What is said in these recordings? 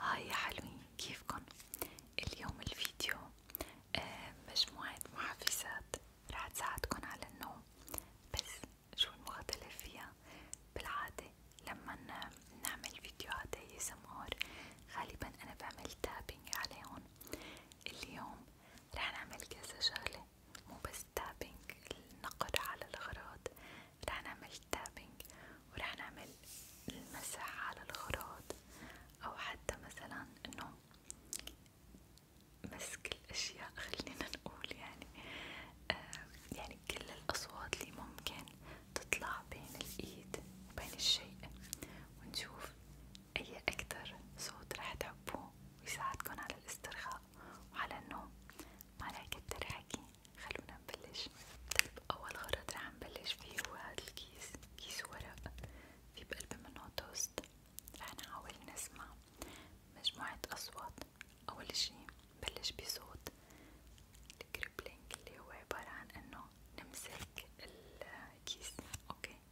هاي آه، يا حلوين كيفكن؟ اليوم الفيديو آه، مجموعة محفزات رح تساعدكن على النوم بس شو المختلف فيها؟ بالعادة لما نعمل فيديوهات هي سمار غالبا أنا بعمل تابينج عليهم اليوم رح نعمل كذا شغلة مو بس تابنج النقر على الغراض رح نعمل تابنج ورح نعمل المسح على الغراض أو حتى مثلا إنه مسك الأشياء خلينا نقول يعني آه يعني كل الأصوات اللي ممكن تطلع بين الإيد وبين الشيء ونشوف أي أكتر صوت رح تحبوه ويساعدكن على الاسترخاء وعلى النوم ما كتر حكي خلونا نبلش طيب أول غرض رح نبلش فيه هو هاد الكيس كيس ورق في بقلب منه توست رح نحاول نسمع مجموعة أصوات أول شي بلش بصوت الكريبلينج اللي هو عبارة عن إنه نمسك الكيس أوكي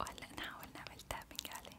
وهلا نحاول نعمل تابنج عليه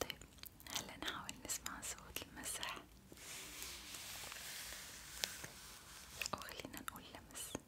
طيب هلا نحاول نسمع صوت المسح أو خلينا نقول لمس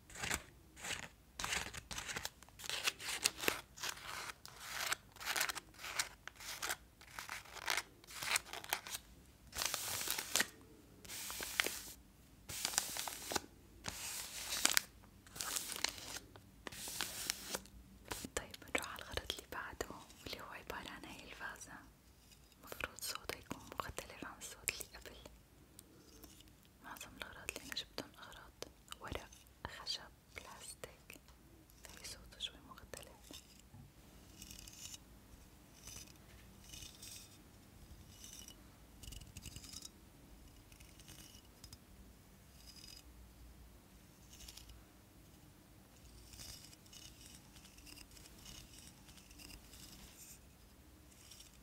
طيب نروح على الخريطة اللي بعده واللي هو عبارة عن هاي الفازة مفروض صوتها يكون مختلف عن الصوت اللي قبل معظم الأغراض اللي أنا جبتهم أغراض ورق خشب بلاستيك في صوته شوي مختلف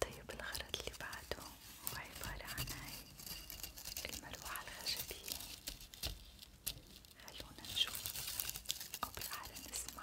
طيب الخرط اللي بعده هو عبارة عن هاي المروحة الخشبية خلونا نشوف أو بالأحلى نسمع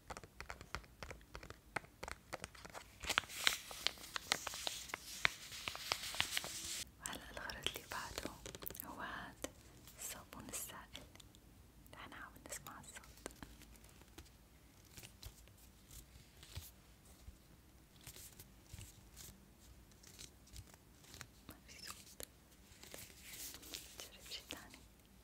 هلا الغرض اللي بعده هو هاد الصابون السائل نحنا عم نسمع الصوت ما في صوت نجرب شي تاني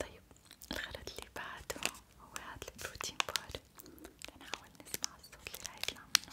طيب الخلط اللي بعده هو هاد البروتين بار، نحاول نسمع الصوت اللي راح يطلع منه.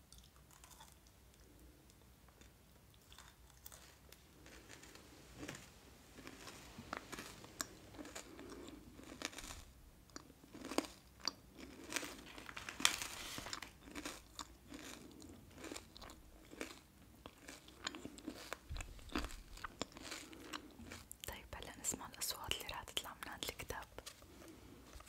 طيب هلا نسمع الأصوات اللي راح تطلع من هاد الكتاب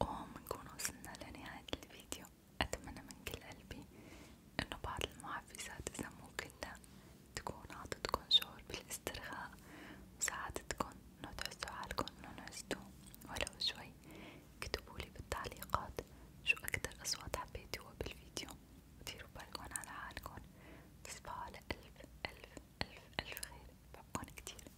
وبنكون وصلنا لنهاية الفيديو أتمنى من كل قلبي إنه بعض المحفزات إذا مو كلها تكون عطتكن شعور بالاسترخاء وساعدتكن إنه تحسوا حالكن إنه نعستوا ولو شوي كتبولي بالتعليقات شو أكتر أصوات حبيتوها بالفيديو وديروا بالكن على حالكن تصبحوا على ألف ألف ألف ألف خير بحبكن كتير